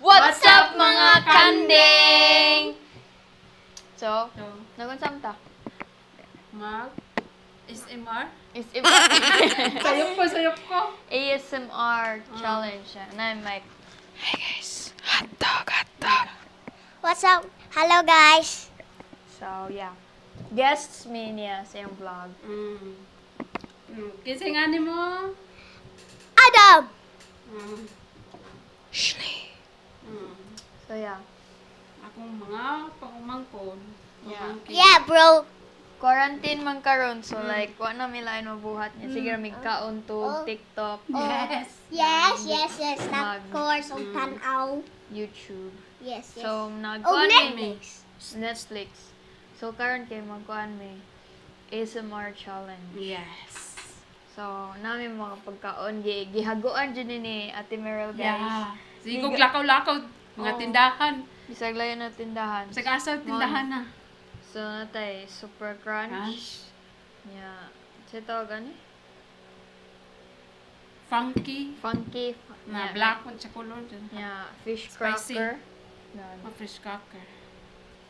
What's up mga kanding? So, so nagunsam ta? Mag ASMR? ASMR. sayop ko, sayop ko. ASMR ah. challenge. Um. And I'm like, hey guys, hot dog, hot dog. What's up? Hello, guys. So, yeah. Guests Mania sa iyong vlog. Mm. Mm. Kasi nga ni mo? Adam! Mm. Shley. Mm. So, yeah. Akong mga pangumangkon. Yeah. yeah, bro. Quarantine man karon so mm. like, wa na milain mabuhat niya. Sige, mm. ramig kaon to, oh. TikTok. Oh. Yes. Yes, yes, yes. Mag, of course, ang tanaw. YouTube. Yes, yes. So, nagkuhan oh, Netflix. May, Netflix. So, karon kay magkuhan may ASMR challenge. Yes. So, namin mga pagkaon, gi gihaguan dyan ni Ate Meryl, guys. Yeah. So, ikog lakaw-lakaw, mga oh. tindahan. Bisag layo na tindahan. Bisag asa tindahan na. So, natay, super crunch. Crunch. Yeah. Sito, ano? gani? Funky. Funky. Na yeah. black one sa color dyan. Yeah. Fish Spicy. cracker. Ganun. Oh, fish cracker.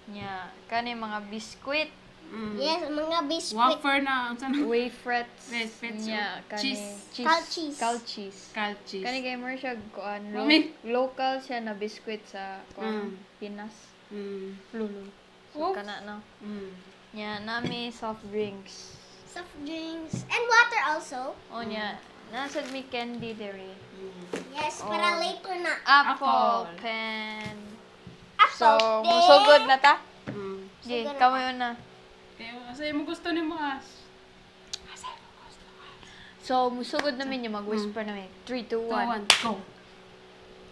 Yeah. Kani mga biskuit. Mm. Yes, mga biskuit. Wafer na. Ang sana. Wafrets. Wafrets. Yeah. Kani, cheese. cheese. Cal cheese. Cal cheese. Cal cheese. Kani gamer siya, kuan, lo- I mean, local siya na biskuit sa kuan, mm. Pinas. Mm. Lulu. So, Oops. kana no. Mm. Yeah, nami soft drinks. Soft drinks. And water also. Oh, mm. yeah. Nasad mi candy dere. Mm. Yes, oh. para later na. Apple, Apple. pen. Apple. So, musugod na ta? Mm. Sige, yeah, kamo yun na. Kaya, asa mo gusto ni mo, Ash? So, musugod namin yung mag-whisper mm. namin. 3, 2, 1. 2, 1, go.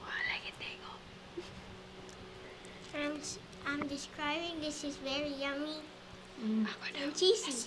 Wala ka tego. I'm, I'm describing this is very yummy mm. Ako eh. daw. and cheesy.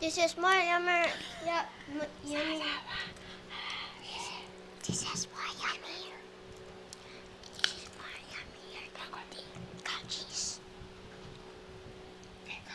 This is my yummy. Yep, yummy. This is my yummy. This is my yummy. Go cheese. There go.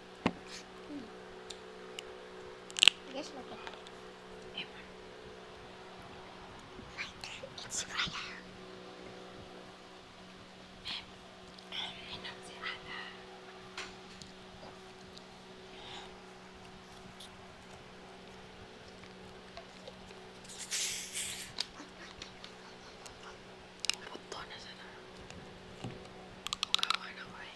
Yes, look at it. It's right What done is it? I'll go right away.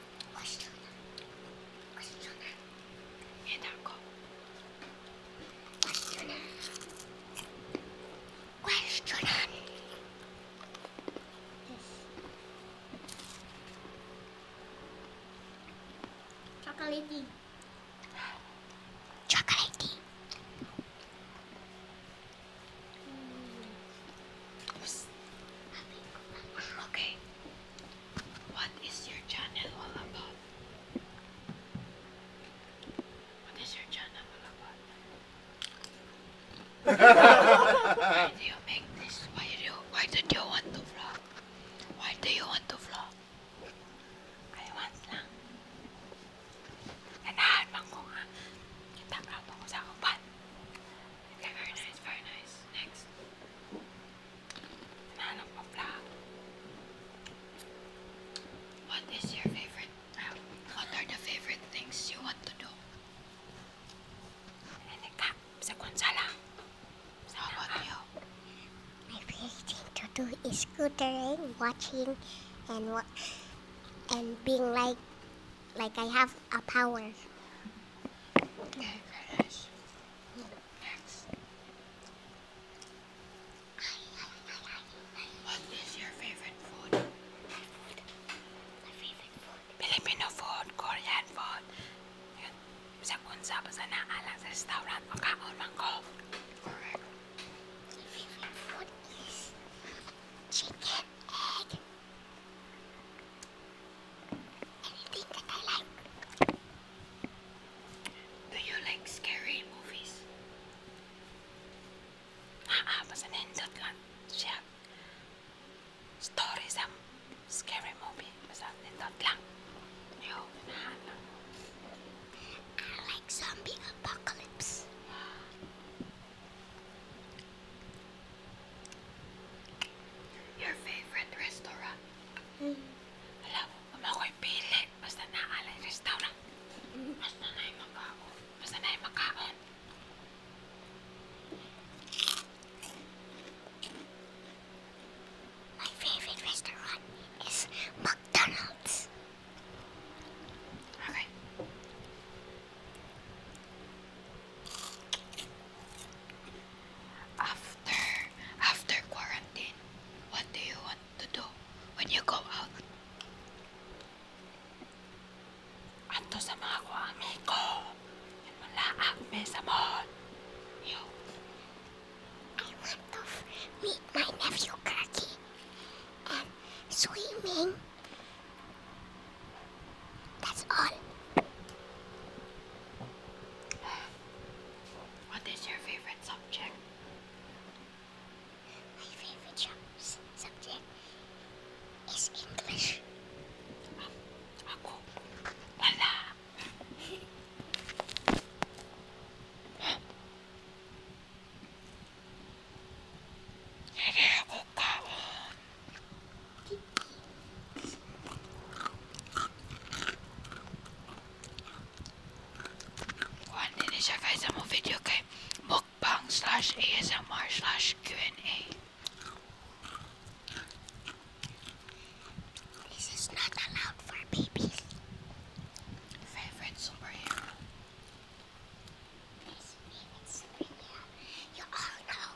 맛있잖아. 맛있잖아. 얘나 거. 맛있잖아. 맛있잖아. 초콜릿이. 초콜릿이. Okay. What is your channel all about? What is your channel all about? why do you make this? Why do you, why did you want to vlog? Why do you want to vlog? Ay, once lang. Nanahan ko nga. Nagtatrato ko sa kapan. Okay, very nice, very nice. Next. Man of Mafla. What is your favorite? what are the favorite things you want to do? Nalika, sa konsala. So you? My favorite thing to do is scootering, watching, and what, and being like, like I have a power. What is your favorite food? My favorite food. Filipino food, Korean food. Sa unsa ba sa naalang restaurant makaon man ko. Correct. My favorite food is chicken egg. I like. Do you like scary movies? Ah, basta ah, nindot kan siya. Story sa um, scary movie. Basta nindot lang. Yo, nahan lang. I like zombie apocalypse. Your favorite restaurant? Mm. Wala, huwag mo ako'y pili. Basta naalay restaurant. Basta na yung makaon. Basta na yung makaon. My favorite restaurant is McDonald's. Okay. After after quarantine, what do you want to do when you go out? Anto sa I want to meet my nephew Kaki and swimming that's all. What is your favorite subject? My favorite subject is English. Um, ako, wala. One is guys i video game mukbang ASMR Q&A. This is not allowed for babies. Favorite superhero. His name is You all know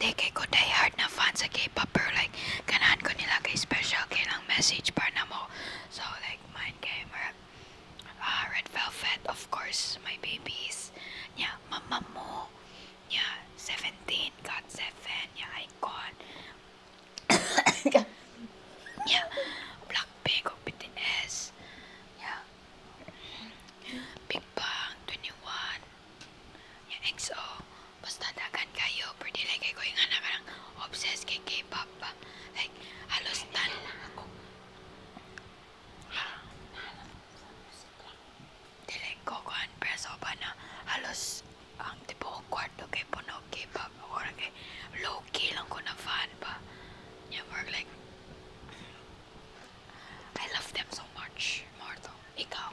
Di kay ko hard na fan sa K-pop pero like kanan ko nila kay special kay lang message para na mo. So like mine gamer. Mer ah, Red Velvet of course my babies. Yeah, mama mo. Yeah, 17 got 7. Yeah, I got. yeah, Blackpink of oh, BTS. Yeah. Big Bang 21. Yung EXO. Basta dagan kayo. Pwede lang kayo yung anak lang. Obsessed kay K-pop ba? Like, halos tan. Dile ko ko ang preso ba na ang tipo ko kwarto K-pop. O rin kay low-key I love them so much. Marto, ikaw,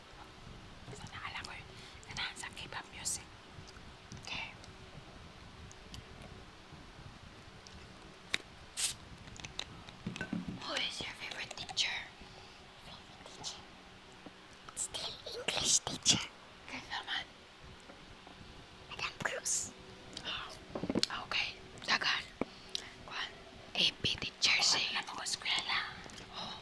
Sasa halafu Who is your favorite teacher? English teacher. Good, Norman. Madame Cruz. Oh, okay. Tagal. Kwan, AP teacher si. Ano ko eskwela? Oh,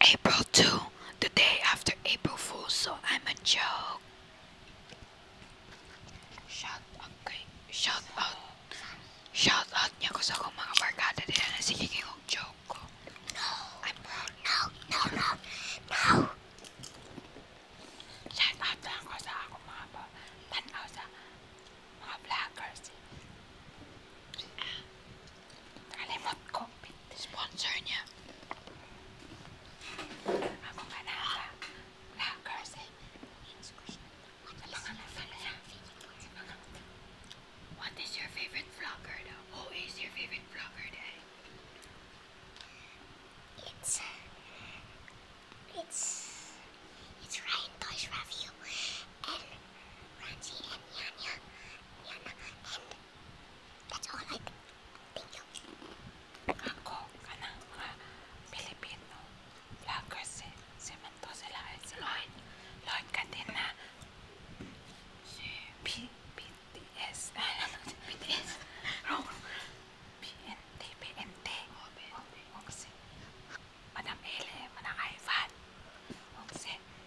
April 2, the day after April Fool's, so I'm a joke. Shout out shout out, shout out niya sa akong mga barkada na siniging kong joke No, I'm proud. No, no, no, no. Shout out lang ko sa akong mga tanaw sa mga Kalimat sponsornya. Ako ka na sa vloggers eh. What is your favorite vlogger though? Who is your favorite vlogger day? It's... It's... It's Ryan Toys and Ranji and Yanya. Yana and... That's all I do. Thank you. Ako, kanang mga Pilipino vloggers si, si Manto sila at si Lloyd. Lloyd ka din na si B, BTS. BTS? Wrong. BNT, BNT. Oh, BNT. Huwag si Madam Ele, Madam Ivan. Huwag si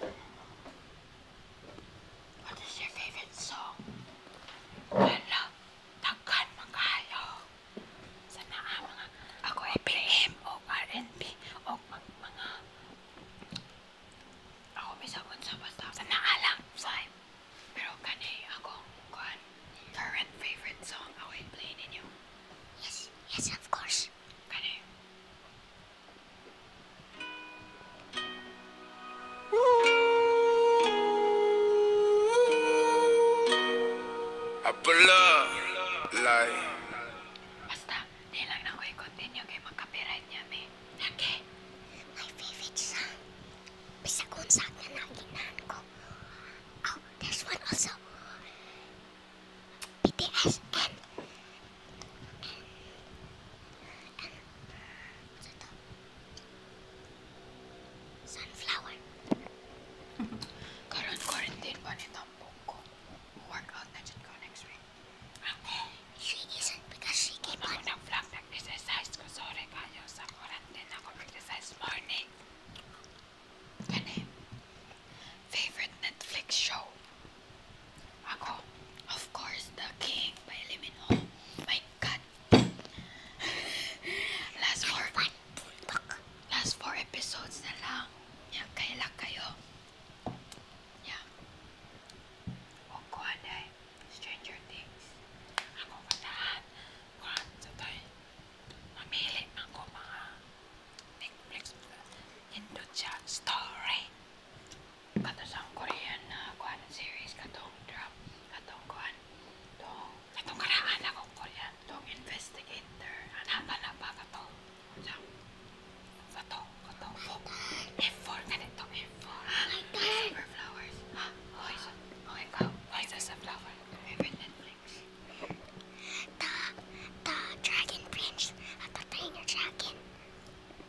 What is your favorite song? Ano? Tagkan mga hayo. Sa naa mga ako ay PM o mga ako bisabon sa basta sa naa lang vibe. Pero current favorite song ako ay play Yes, yes of course. Kani Apala! Lay. Basta, di lang na ko i-continue kay magka-copyright niya, me. Okay. My favorite song. Bisa kung saan na nakinahan ko. Oh, there's one also. BTS and Sunflower. Karon quarantine pa ni Tampong ko. Workout na dyan ko She isn't because she came Ano on. nang vlog nag-exercise ko? Sorry kayo. Sa quarantine ako mag-exercise morning. Kani? Favorite Netflix show? Ako, of course, the king by Limin Ho. My God. last four, last four episodes lang. Yeah, kaila kayo. Yeah. Huwag Stranger Things. Ako katahan. Kuhan sa tayo. Mamili ako mga Netflix. Indo siya. Story katong Korean na uh, kuan series katong drop katong kuan tong katong karaan ako Korean tong investigator anapa na ba katong sa katong katong folk F4 ganito F4 super flowers ha oh isa oh ikaw oh isa sa flower Netflix the the dragon prince of the trainer dragon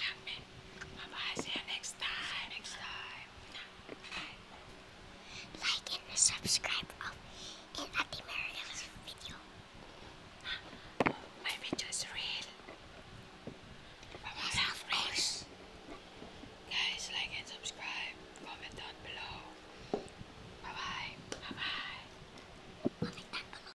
Happy. Bye bye. See you next time. Next time. Like and subscribe of in Ati Mariel's video. My video is real. Bye bye. guys, like and subscribe. Comment down below. Bye bye. Bye bye. Comment down below.